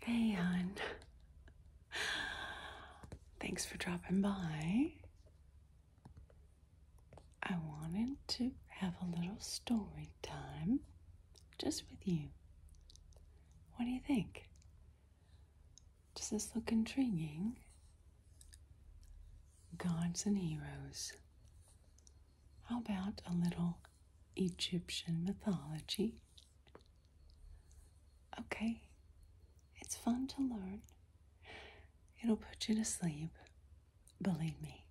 Hey, hon. Thanks for dropping by. I wanted to have a little story time just with you. What do you think? Does this look intriguing? Gods and heroes. How about a little Egyptian mythology Okay, it's fun to learn. It'll put you to sleep, believe me.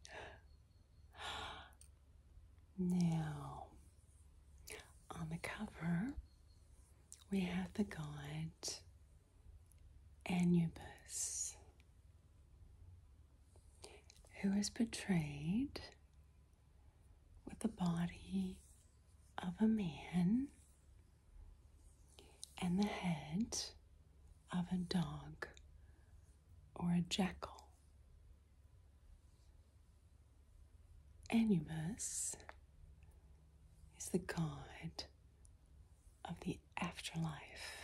Now, on the cover, we have the god Anubis, who is portrayed with the body of a man and the head of a dog or a jackal. Anubis is the god of the afterlife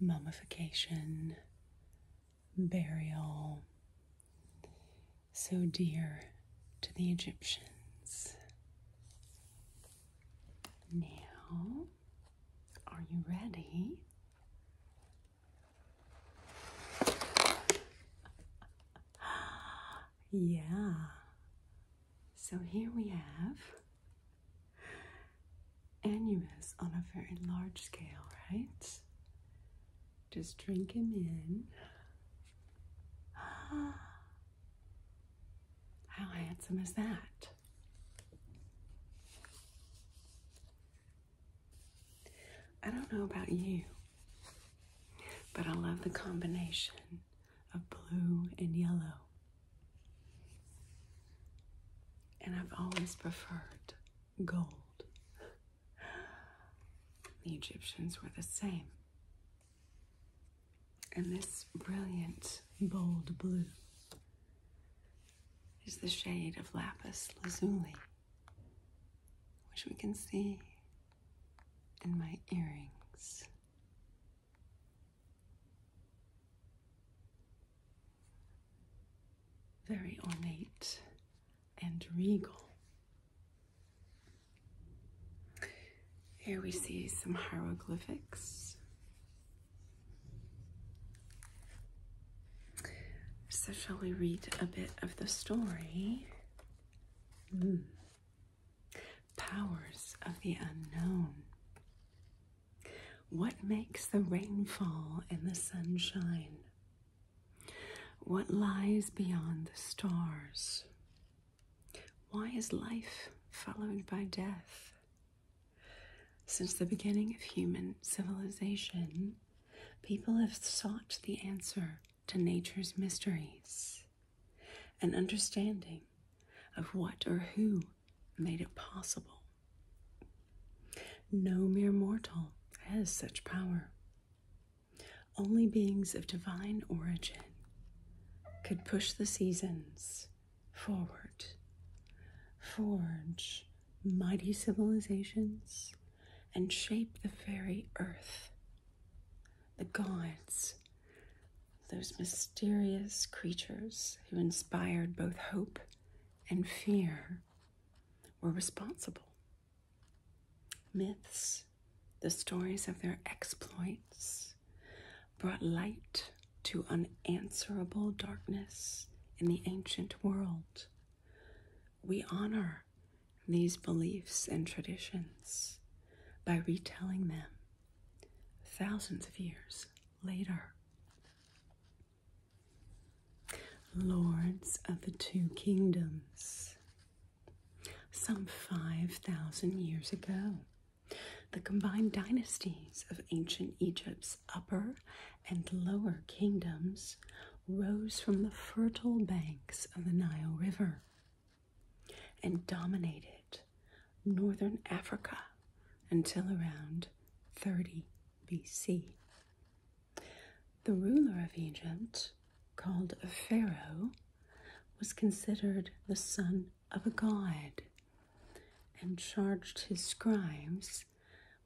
mummification, burial, so dear to the Egyptians. Now, are you ready? yeah. So here we have Animus on a very large scale, right? Just drink him in. How handsome is that? I don't know about you, but I love the combination of blue and yellow. And I've always preferred gold. The Egyptians were the same. And this brilliant bold blue is the shade of lapis lazuli, which we can see in my earrings. Very ornate and regal. Here we see some hieroglyphics. So shall we read a bit of the story? Hmm powers of the unknown. What makes the rainfall and the sunshine? What lies beyond the stars? Why is life followed by death? Since the beginning of human civilization, people have sought the answer to nature's mysteries. and understanding of what or who made it possible. No mere mortal has such power. Only beings of divine origin could push the seasons forward, forge mighty civilizations, and shape the very earth. The gods those mysterious creatures who inspired both hope and fear were responsible. Myths, the stories of their exploits, brought light to unanswerable darkness in the ancient world. We honor these beliefs and traditions by retelling them thousands of years later. Lords of the Two Kingdoms. Some 5,000 years ago, the combined dynasties of ancient Egypt's upper and lower kingdoms rose from the fertile banks of the Nile River and dominated northern Africa until around 30 BC. The ruler of Egypt, called Pharaoh, was considered the son of a god and charged his scribes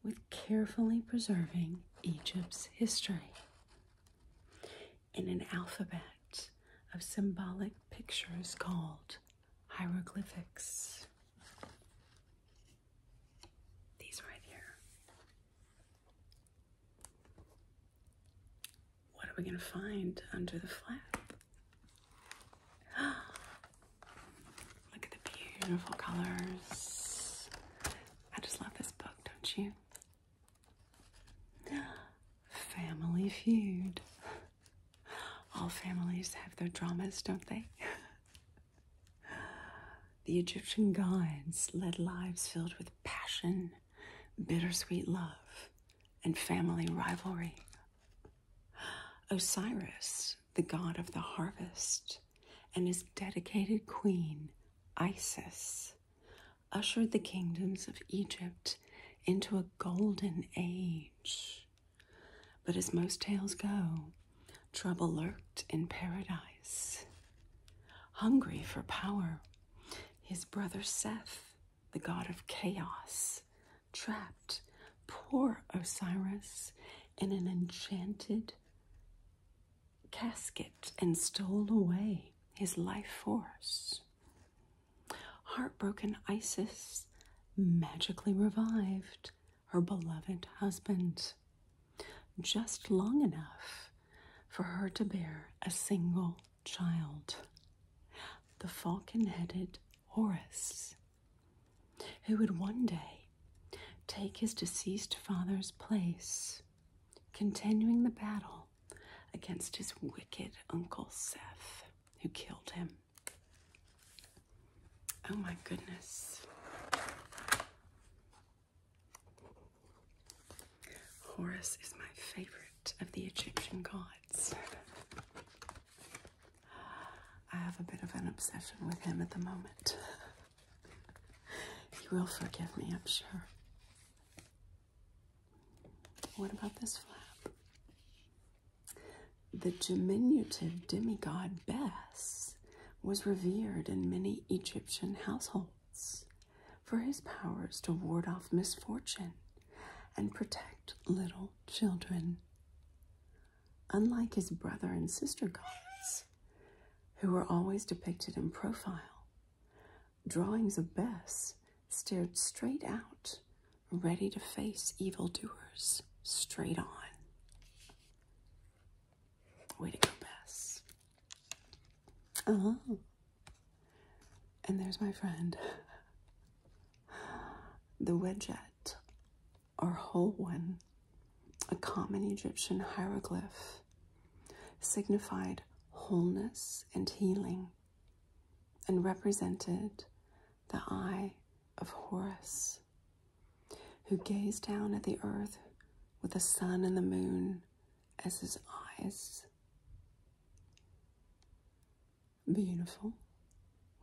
with carefully preserving Egypt's history in an alphabet of symbolic pictures called hieroglyphics. These right here. What are we going to find under the flap? Look at the beautiful colors. I just love this book, don't you? Family feud. All families have their dramas, don't they? the Egyptian gods led lives filled with passion, bittersweet love, and family rivalry. Osiris, the god of the harvest, and his dedicated queen, Isis, ushered the kingdoms of Egypt into a golden age. But as most tales go, trouble lurked in paradise. Hungry for power, his brother Seth, the god of chaos, trapped poor Osiris in an enchanted casket and stole away his life force. Heartbroken Isis magically revived her beloved husband just long enough for her to bear a single child, the falcon headed Horus, who would one day take his deceased father's place, continuing the battle against his wicked uncle Seth, who killed him. Oh my goodness. Horus is my favorite of the Egyptian gods. I have a bit of an obsession with him at the moment. he will forgive me, I'm sure. What about this flap? The diminutive demigod Bess was revered in many Egyptian households for his powers to ward off misfortune and protect little children. Unlike his brother and sister gods, who were always depicted in profile, drawings of Bess stared straight out, ready to face evildoers straight on. Way to go, Bess. Oh. And there's my friend. The Wedgette, or whole one, a common Egyptian hieroglyph signified wholeness and healing and represented the eye of Horus, who gazed down at the earth with the sun and the moon as his eyes. Beautiful,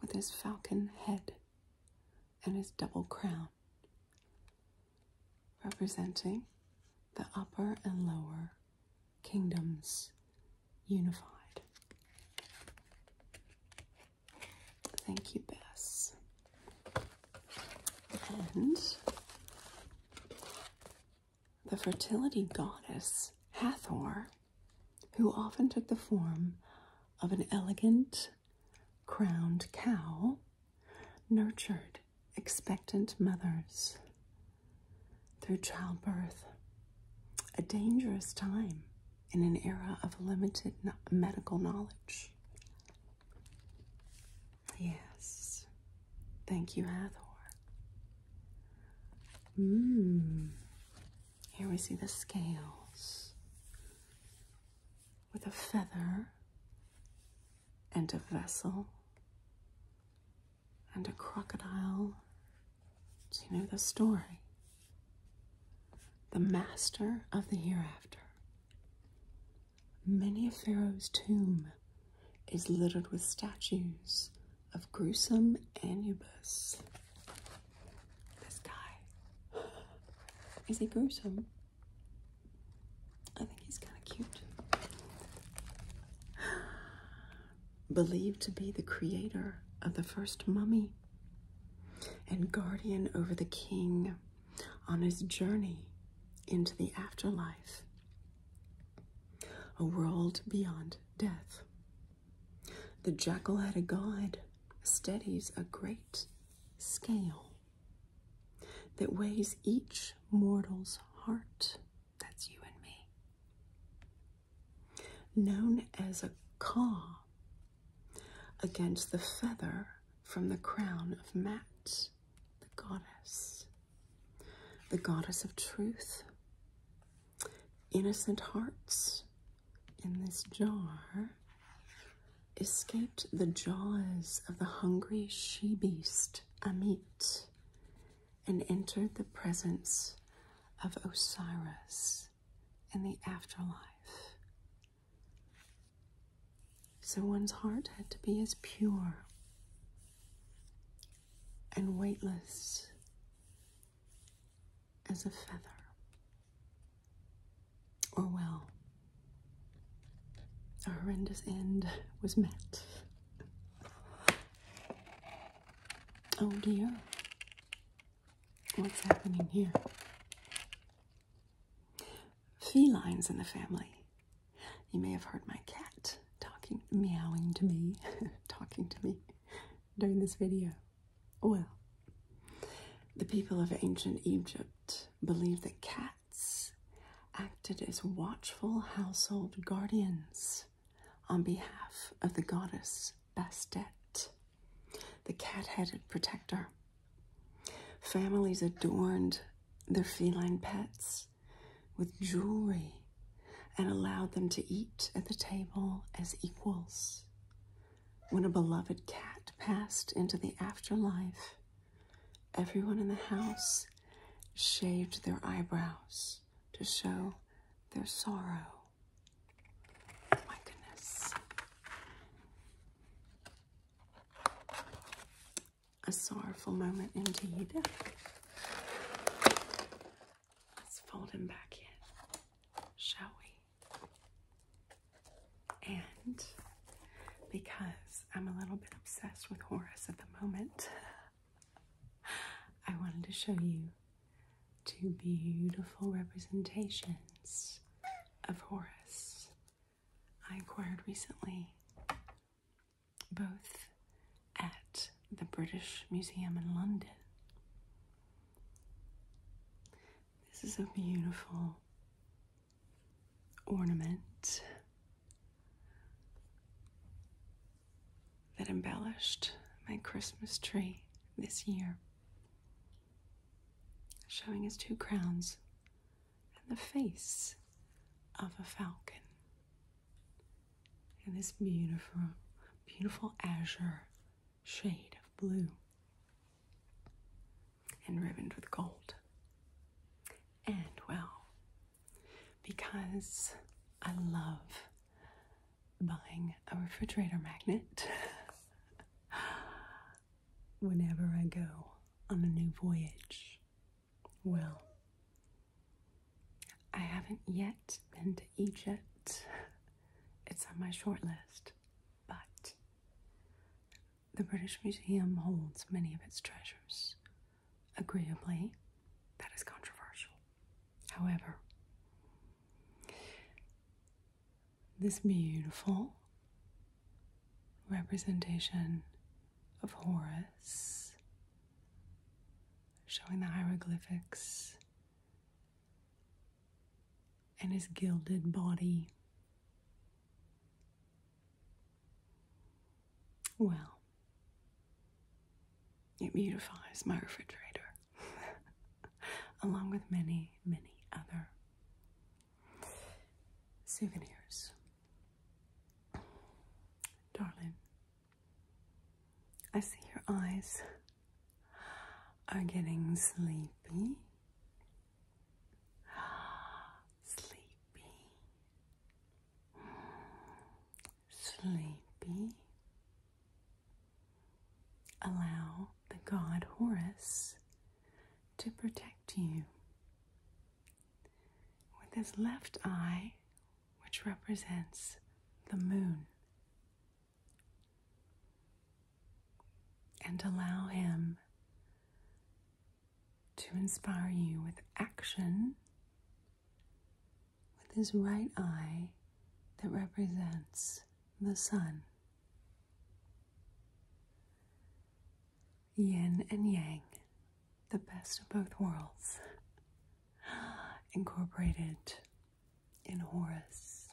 with his falcon head and his double crown, representing the upper and lower kingdoms unified. Thank you, Bess. And the fertility goddess Hathor, who often took the form of an elegant crowned cow nurtured, expectant mothers through childbirth, a dangerous time in an era of limited medical knowledge. Yes, thank you, Athor. Mmm, here we see the scales with a feather and a vessel and a crocodile. Do you know the story? The master of the hereafter. Many a pharaoh's tomb is littered with statues of gruesome Anubis. This guy. Is he gruesome? I think he's kind of cute. Believed to be the creator of the first mummy and guardian over the king on his journey into the afterlife, a world beyond death. The jackal headed god, steadies a great scale that weighs each mortal's heart, that's you and me, known as a caw against the feather from the crown of Mat, the goddess, the goddess of truth. Innocent hearts in this jar escaped the jaws of the hungry she beast Amit and entered the presence of Osiris in the afterlife. So one's heart had to be as pure and weightless as a feather. Oh well, a horrendous end was met. Oh dear, what's happening here? Felines in the family. You may have heard my cat talking, meowing to me, talking to me during this video. Well, the people of ancient Egypt believed that cats acted as watchful household guardians on behalf of the goddess Bastet, the cat headed protector. Families adorned their feline pets with jewelry and allowed them to eat at the table as equals when a beloved cat passed into the afterlife, everyone in the house shaved their eyebrows to show their sorrow. my goodness. A sorrowful moment indeed. Let's fold him back in, shall we? And because I'm a little bit obsessed with Horus at the moment, I wanted to show you two beautiful representations of Horus I acquired recently, both at the British Museum in London. This is a beautiful ornament that embellished my Christmas tree this year, showing his two crowns and the face of a falcon. And this beautiful, beautiful azure shade of blue and ribboned with gold. And well, because I love buying a refrigerator magnet whenever I go on a new voyage, well, I haven't yet been to Egypt. It's on my short list, but the British Museum holds many of its treasures. Agreeably, that is controversial. However, this beautiful representation of Horus, showing the hieroglyphics and his gilded body. Well, it beautifies my refrigerator, along with many, many other souvenirs. Darling, I see your eyes are getting sleepy. Sleepy. Sleepy. Allow the god Horus to protect you. With his left eye, which represents the moon, and allow Him to inspire you with action with His right eye that represents the sun. Yin and Yang, the best of both worlds, incorporated in Horus.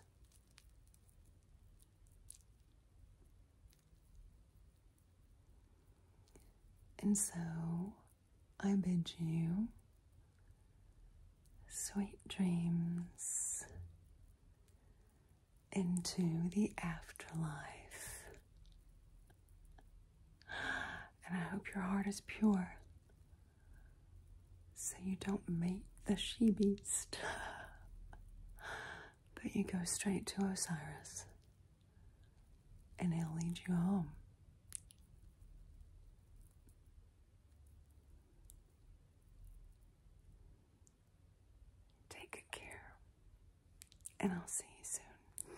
And so I bid you sweet dreams into the afterlife. And I hope your heart is pure so you don't mate the she beast, but you go straight to Osiris and he'll lead you home. Take care, and I'll see you soon.